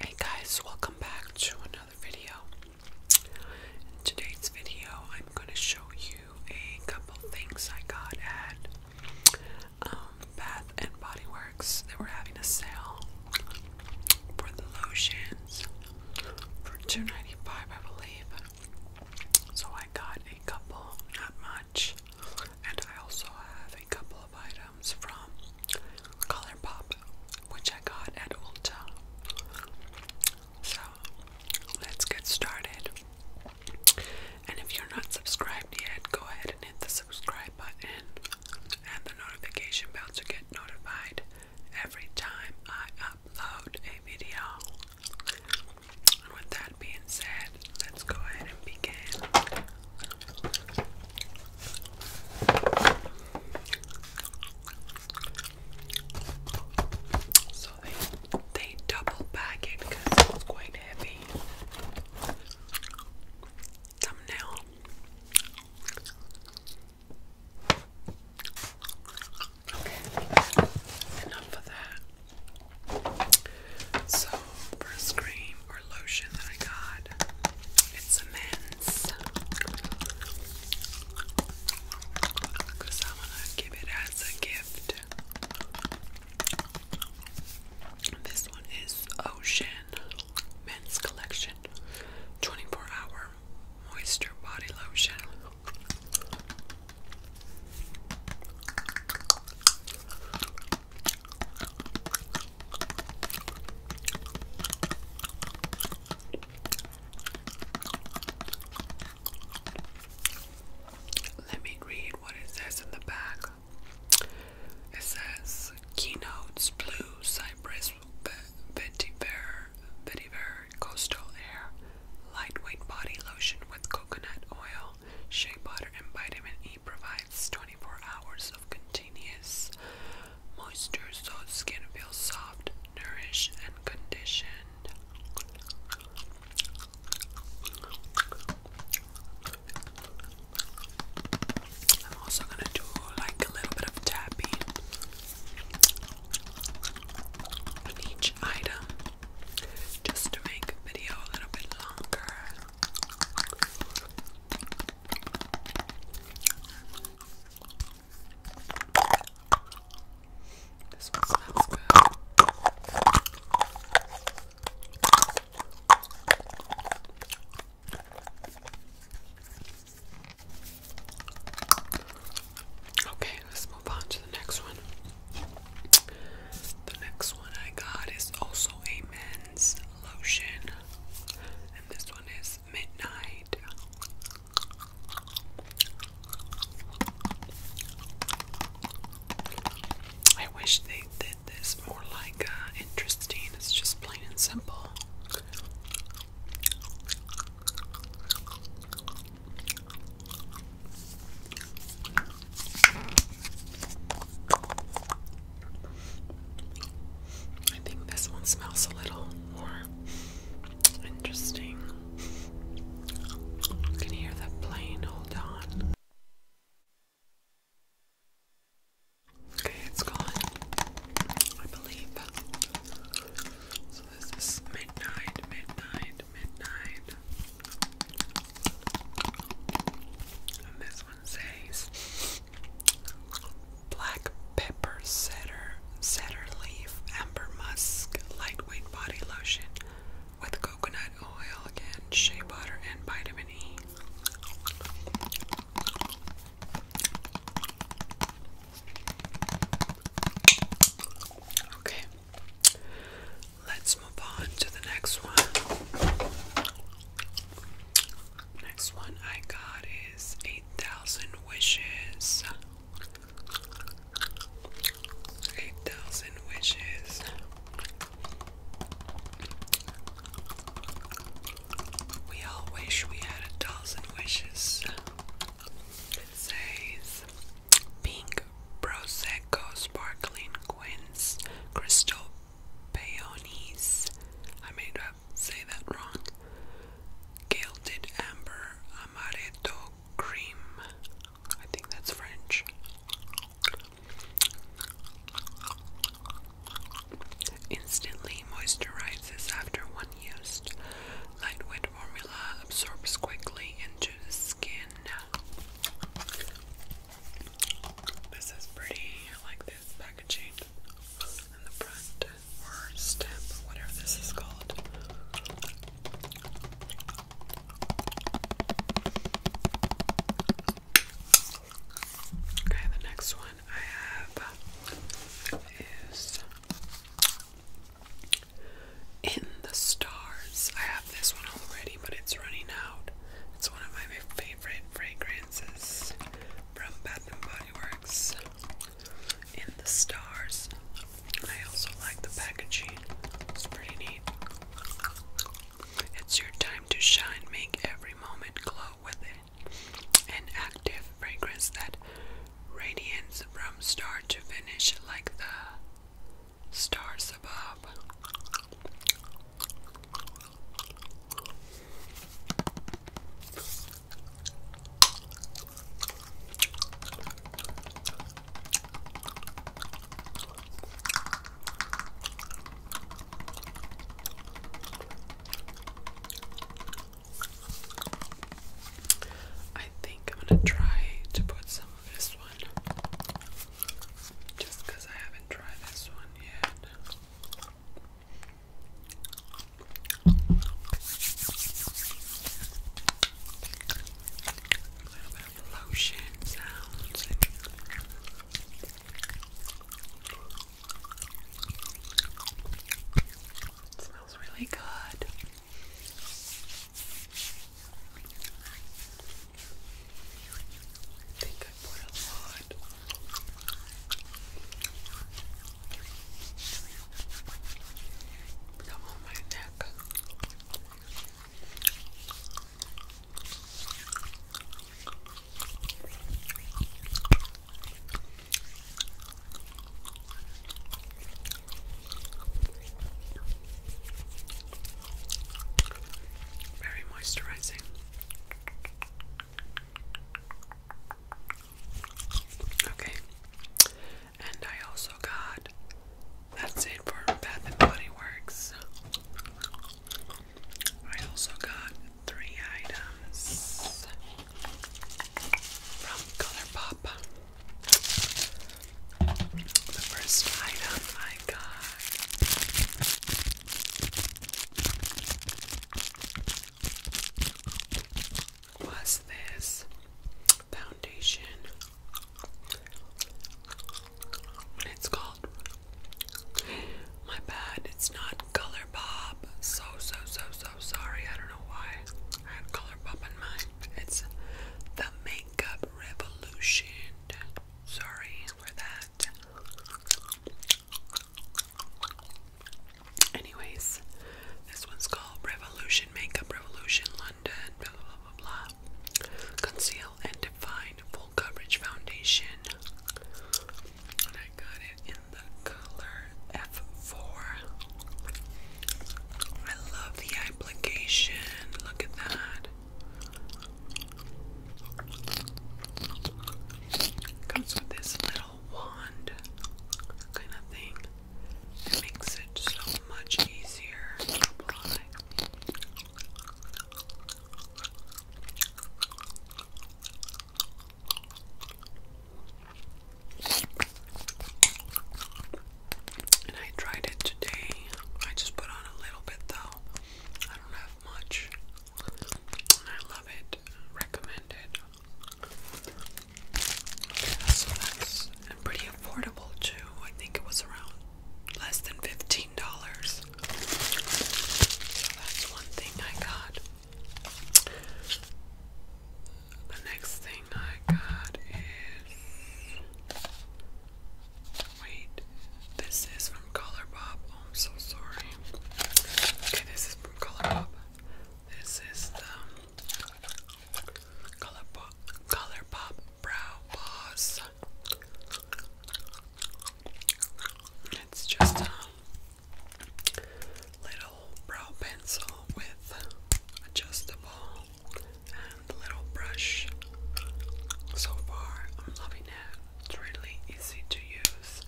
Hey guys, welcome back to another video. In today's video, I'm going to show you a couple things I got at um, Bath and Body Works. They were having a sale for the lotions for $2.95, I believe. So I got a couple, not much, and I also have a couple of items items from Color which I got at Ulta. So let's get started. And if you're not subscribed yet, go ahead and hit the subscribe button and the notification bell to get notified every time I upload a video. And with that being said, let's go ahead and begin. So they they double back it it's quite heavy. Thumbnail. Okay, enough of that. So, for a cream or lotion that I got, it's immense. Because I want to give it as a gift. This one is Ocean Men's Collection 24 Hour Moisture Body Lotion. Let me read what it says in the back. It says keynotes blue cypress vetiver vetiver coastal air lightweight body lotion with coconut oil shea butter and vitamin E provides 24 hours of continuous moisture so skin feels soft, nourished, and conditioned. I'm also going to do like a little bit of tapping on each item just to make the video a little bit longer. This one smells good. Okay, let's move on to the next one. The next one I got is also a man Lotion, and this one is Midnight. I wish they did this more like uh, interesting, it's just plain and simple. I think this one smells a little more interesting. You hear the plane, hold on. Okay, it's gone. I believe. So this is midnight, midnight, midnight this one says black pepper cedar cedar leaf amber musk lightweight body lotion with coconut oil again, shea butter and vitamin E. Okay. Let's move on to the next one. Next one I got is 8,000 Wishes. 8,000 Wishes. We all wish we had a thousand wishes. It says, being Prosecco, Sparkling Quince, Crystal Peonies, I made up, say that wrong, Gilded Amber, Amaretto Cream, I think that's French, instantly moisturizes after one used, lightweight formula absorbs quickly into skin. This is pretty. I like this packaging in the front or stamp whatever this is called. Okay, the next one I have is In the Stars. I this one already, but it's running out. It's one of my favorite fragrances from Bath and Body Works in the stars. I also like the packaging. It's pretty neat. It's your time to shine. Make every moment glow with it. An active fragrance that radiates from start to finish like the stars above. I think I'm going to try to put some this one just because I haven't tried this one yet. A little bit of lotion sounds. It smells really good. I think I put a lot. Come on, my neck. I very moisturizing. Okay. And I also got that's it for Bath and Body Works. I also got three items from ColourPop. The first item I got was this foundation. it's called My Bad, it's not Color So so so so sorry. I don't know why I had Color in mind. It's the Maybelline makeup revolution. Sorry for that. Anyways, this one's called Revolution Makeup Revolution London. Blah blah blah blah. Conceal and Define Full Coverage Foundation. And I got it in the color F4. I love the eye application. Look at that. Comes with this little wand kind of thing. It makes it so much easier to apply and I tried it today. I just put on a little bit though. I don't have much. And I love it. Recommend it. so that's and pretty affordable too. I think it was around less than fifteen dollars. So that's one thing I got. The next thing I got is Wait, this is from Color Bob. Oh, I'm so sorry. Okay, this is from Color This is the Color Pop, Brow Boss. It's just a little brow pencil with adjustable and little brush. So far, I'm loving it. It's really easy to use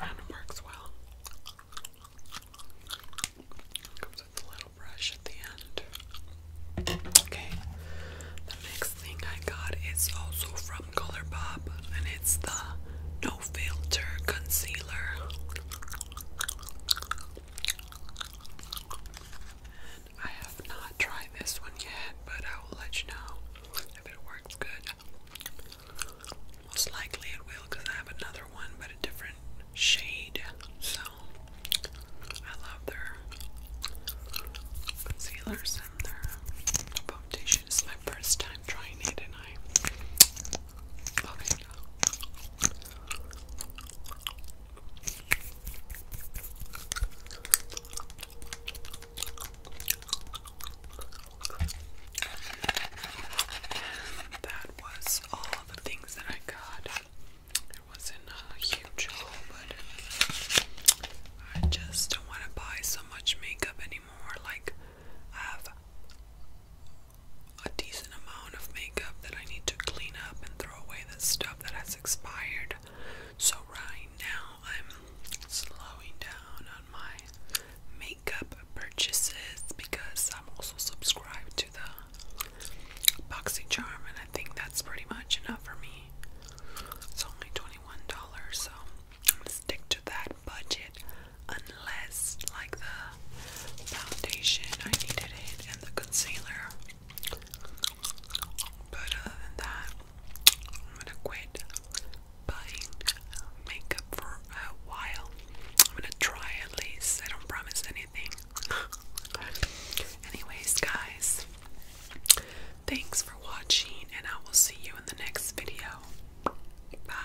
and works well. comes with a little brush at the end. Okay, the next thing I got is also from ColourPop and it's the No Filter Concealer. I have not tried this one yet, but I will let you know if it works good. Most likely it will because I have another one, but a different shade. So I love their concealers and their foundation. my first time trying it, and I love that was all the things that I got. It wasn't a huge haul, but I just don't want to buy so much makeup anymore. Like, I have a decent amount of makeup that I need to clean up and throw away the stuff that has expired. So, right now, I'm slowing down on my makeup purchases because I'm also subscribed to the BoxyCharm, and I think that's pretty much enough for me. It's only $21, so I'm gonna stick to that budget unless, like, the foundation I needed it and the concealer. But other than that, I'm gonna quit buying makeup for a while. I'm gonna try at least. I don't promise anything. Anyways, guys, thanks for watching, and I will see you in the next video. Bye.